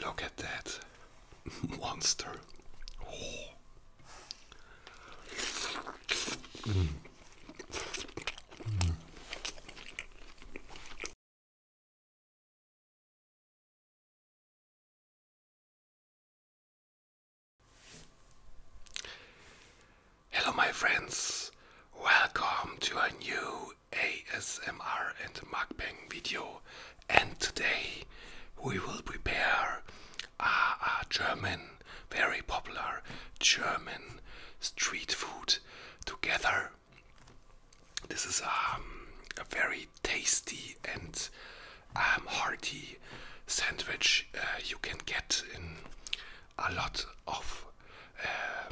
Look at that monster. Hello, my friends. Welcome to a new ASMR and mukbang video. And today we will prepare a, German, very popular German street food together. This is um, a very tasty and um, hearty sandwich uh, you can get in a lot of uh,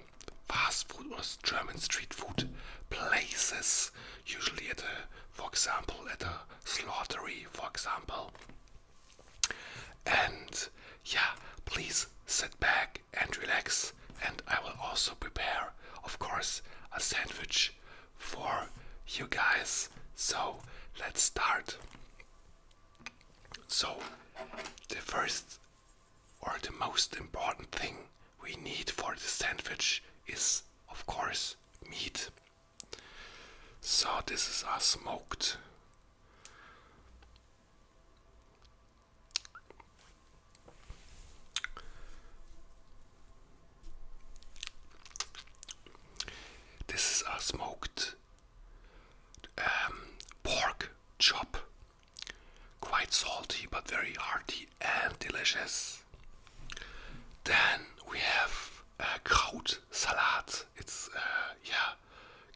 fast food or German street food places, usually at a, for example, at a slaughtery, for example. And yeah, please sit back and relax. And I will also prepare, of course, a sandwich for you guys. So let's start. So, the first or the most important thing we need for the sandwich is, of course, meat. So this is our smoked. This is our smoked um, pork chop. Quite salty but very hearty and delicious. Then we have a kraut It's uh, yeah,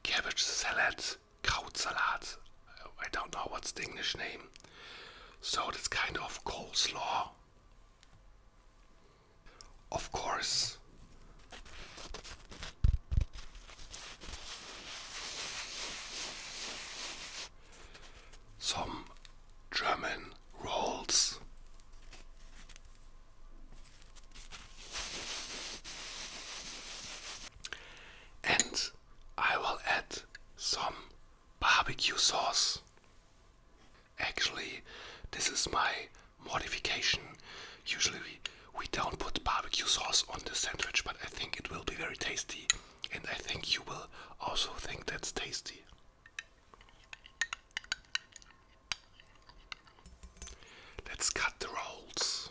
cabbage salad, kraut I don't know what's the English name. So it's kind of coleslaw. Of course, some German rolls. And I will add some barbecue sauce. Actually, this is my modification. Usually we, don't put barbecue sauce on the sandwich, but I think it will be very tasty, and I think you will also think that's tasty. Let's cut the rolls.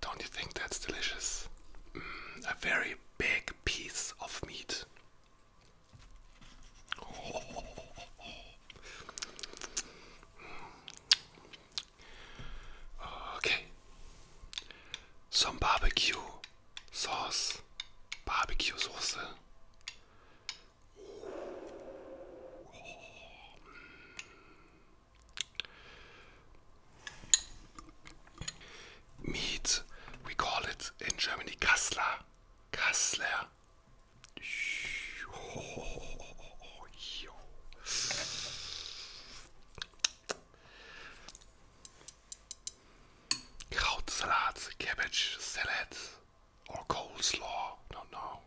Don't you think that's delicious? Mm, a very big piece of meat. Okay. Some barbecue sauce. Barbecue sauce. Meat, we call it in Germany Kassler. Kassler. Krautsalat, cabbage salad, or coleslaw. No, no.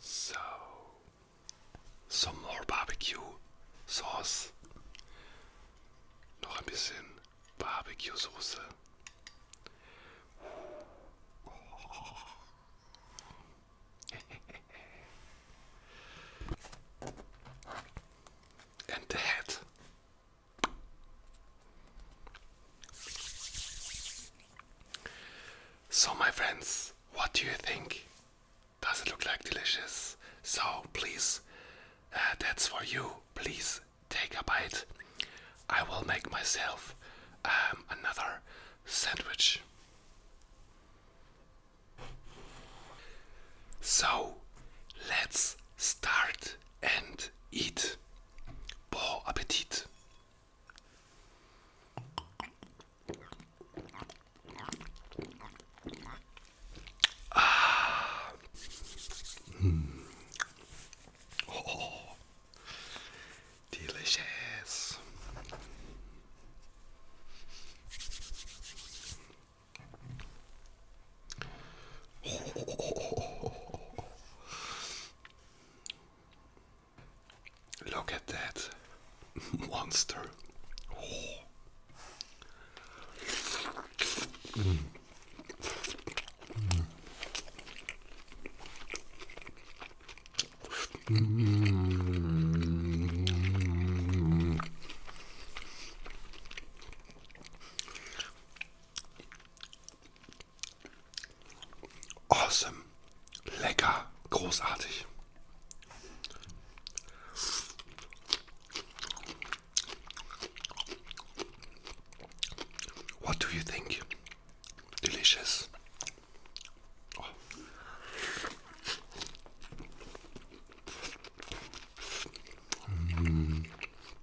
So, some more barbecue sauce. Noch ein bisschen Barbecue Soße. and so, my friends, what do you think? Does it look like delicious? So, please, uh, that's for you. Please take a bite. I will make myself um, another sandwich. So, let's start and eat. Bon appetit. Ah. Mm. Oh, delicious. Look at that monster. Awesome. Lecker. Großartig. What do you think? Delicious. Oh. Mm.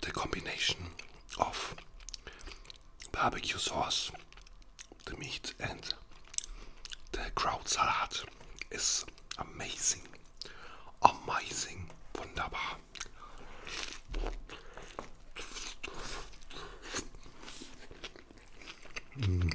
The combination of barbecue sauce, the meat, and the crowd salad is amazing. Amazing. Wunderbar. Mm.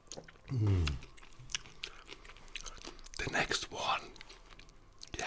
The next one, yeah.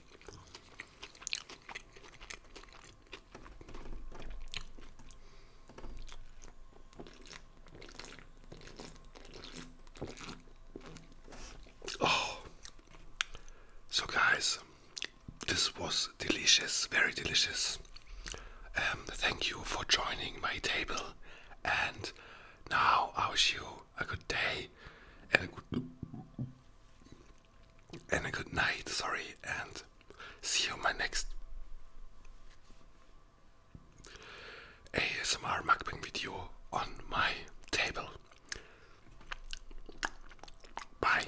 Oh, so guys, this was delicious, very delicious. Um, thank you for joining my table, and now I wish you a good day and a good and a good night, sorry, and see you on my next ASMR mukbang video on my table. Bye.